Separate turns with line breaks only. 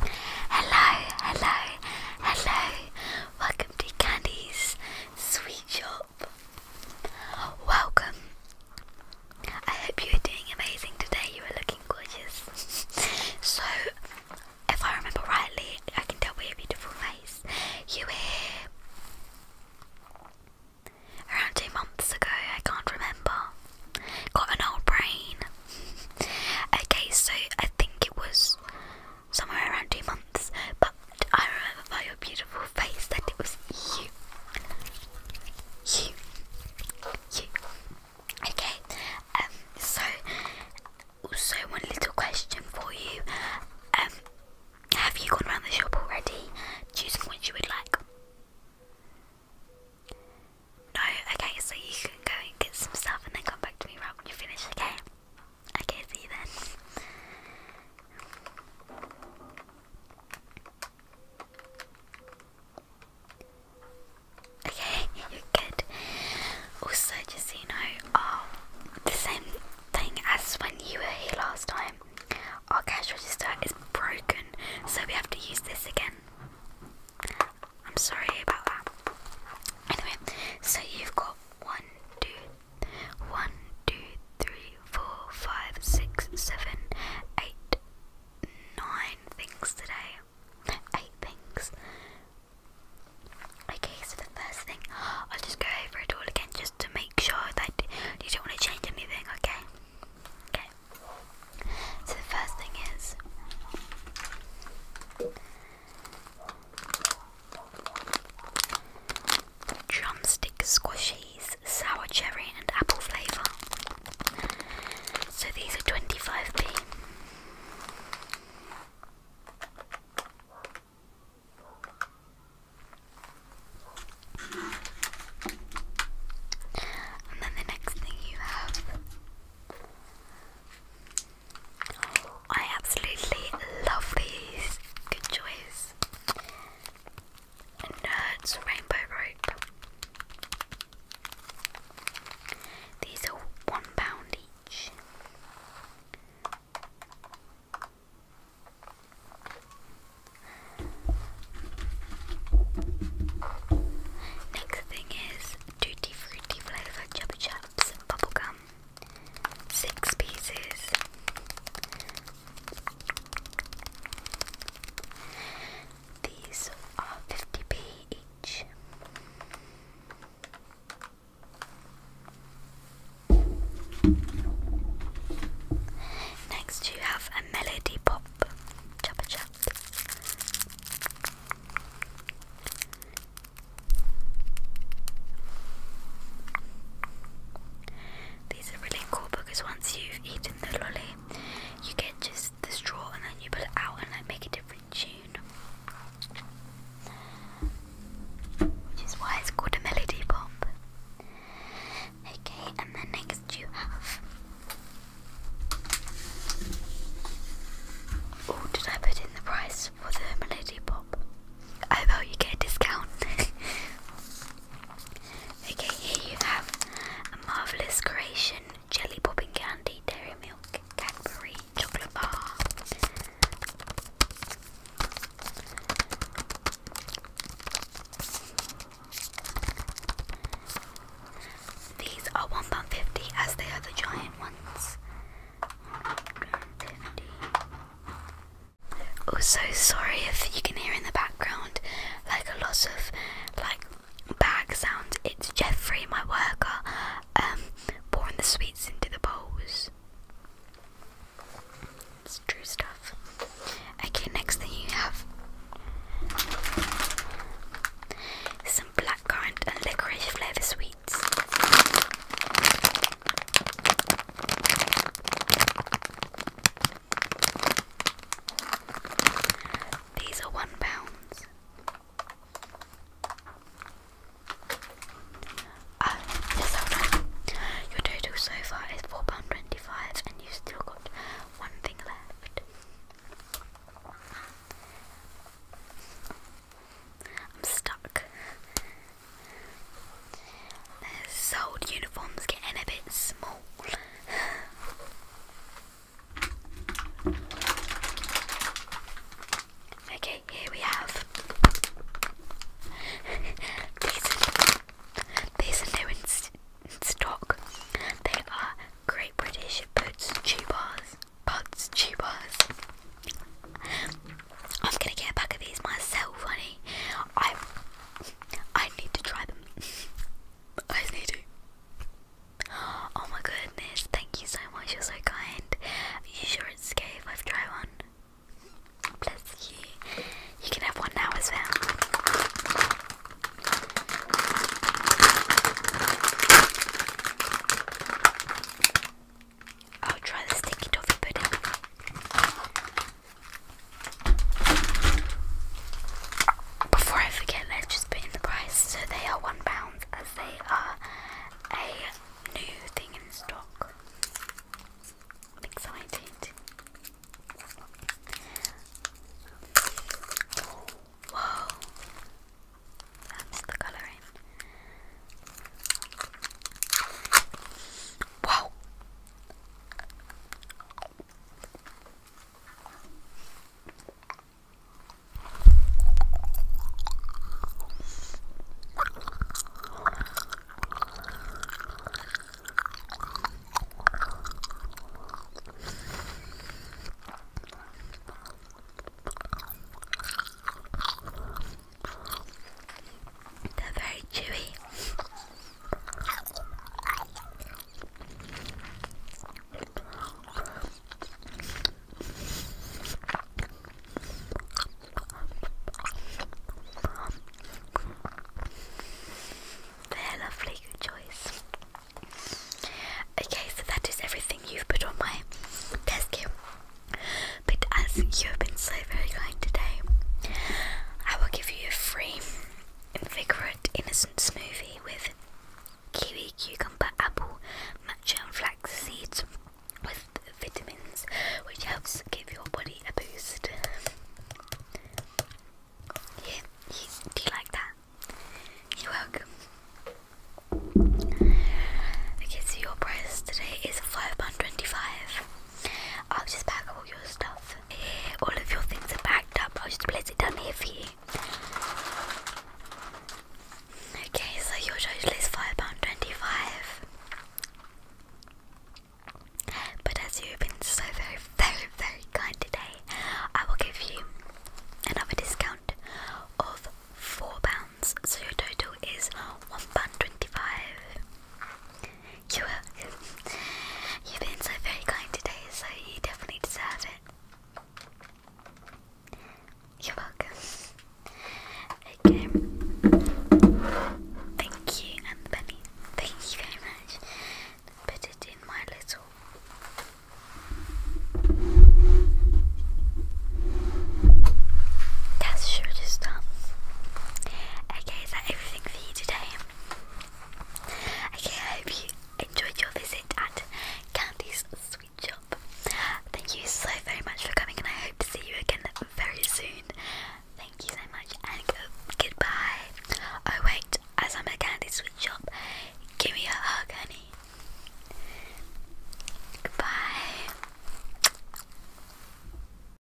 Hello, hello, hello. Welcome to Candy's Sweet Shop. Welcome. I hope you are doing amazing today. You are looking gorgeous. so, if I remember rightly, I can tell by your beautiful face. You were here around two months ago, I can't remember. Got an old brain. okay, so I think it was somewhere around two months, but I remember by your beautiful face that it was you. You. You. Okay, um, so also, one little question for you. Um, have you gone around the shop already, choosing what you would like? No? Okay, so you can go and get some stuff and then come back to me when you finish, okay? Okay, see you then. Okay, good. Also, just so you know, um, the same thing as when you were here last time. Our cash register is broken, so we have to use this again. I'm sorry about that. Anyway, so you've got one, two, one, two, three, four, five, six, seven, eight, nine things today. Eight things. Okay, so the first thing, I'll just go over it all again just to make sure that you don't want to change anything, okay? Okay. So the first thing is drumstick squishies, sour cherry and apple flavour. So these are 25p. And then the next thing you have. I absolutely love these. Good choice. Nerds Rainbow Rope. These are £1 Next thing is Tutti Frutti Flavor Chubby Chaps Bubblegum. Six pieces. These are 50 each. Next, you have a melody pop These are really cool because once you've eaten the lolly, you get just the straw and then you pull it out and like make a different tune, which is why it's called a melody pop. Okay, and then next you have. Oh, did I put in the price for the melody pop? Oh well, you get a discount. okay, here you have a marvelous creation jelly popping candy, dairy milk, Cadbury, chocolate bar. These are one pound fifty, as they are the giant ones. Also, sorry if you can hear in the background like a lot of like bag sounds. It's Jeffrey, my worker, um, pouring the sweets into the bowls. It's true stuff. Okay, next thing you have some blackcurrant and licorice flavour sweets. These are one pounds. Uh, Your total so far is four hundred twenty-five, and you have still got one thing left. I'm stuck. These old uniforms getting a bit small. Okay, here we have these. These are new in, stock. They are Great British Boots Tubars. Buds Tubars. I'm gonna get a pack of these myself, honey. I I need to try them. I need to. Oh my goodness, thank you so much, you're so kind. Are you sure it's safe? if I try one? Bless you. You can have one now as well. I'll try the sticky toffee pudding. Before I forget, let's just put in the price. So they are £1 as they are a new thing in stock. excited. Whoa. That's the colouring. Wow. They're very chewy they lovely, good choice. Okay, so that is everything you've put on my desk But as you have been so very kind today, I will give you a free Invigorated Innocent Smoothie with kiwi, cucumber, apple, matcha, and flax seeds with vitamins, which helps give your body a boost. you, do you like that? You're welcome. Okay, so your price today is five pound twenty-five. I'll just pack all your stuff. Eh, all of your things are packed up. I'll just place it down here for you. Okay, so your total is £5.25. But as you've been so very, very, very kind today, I will give you another discount of £4. So your total is £1.25. You have. You've been so very kind today, so you definitely deserve it. You're welcome. Okay. Thank you, and the penny. Thank you very much. Put it in my little. That's sure to stop. Okay, is that everything for you today? Okay, I hope you enjoyed your visit at Candy's Sweet Shop. Thank you so very much for coming, and I hope to see you again very soon. Thank you so much, and goodbye. Oh wait, as I'm at Candy's Sweet Shop, give me a hug, honey. Goodbye.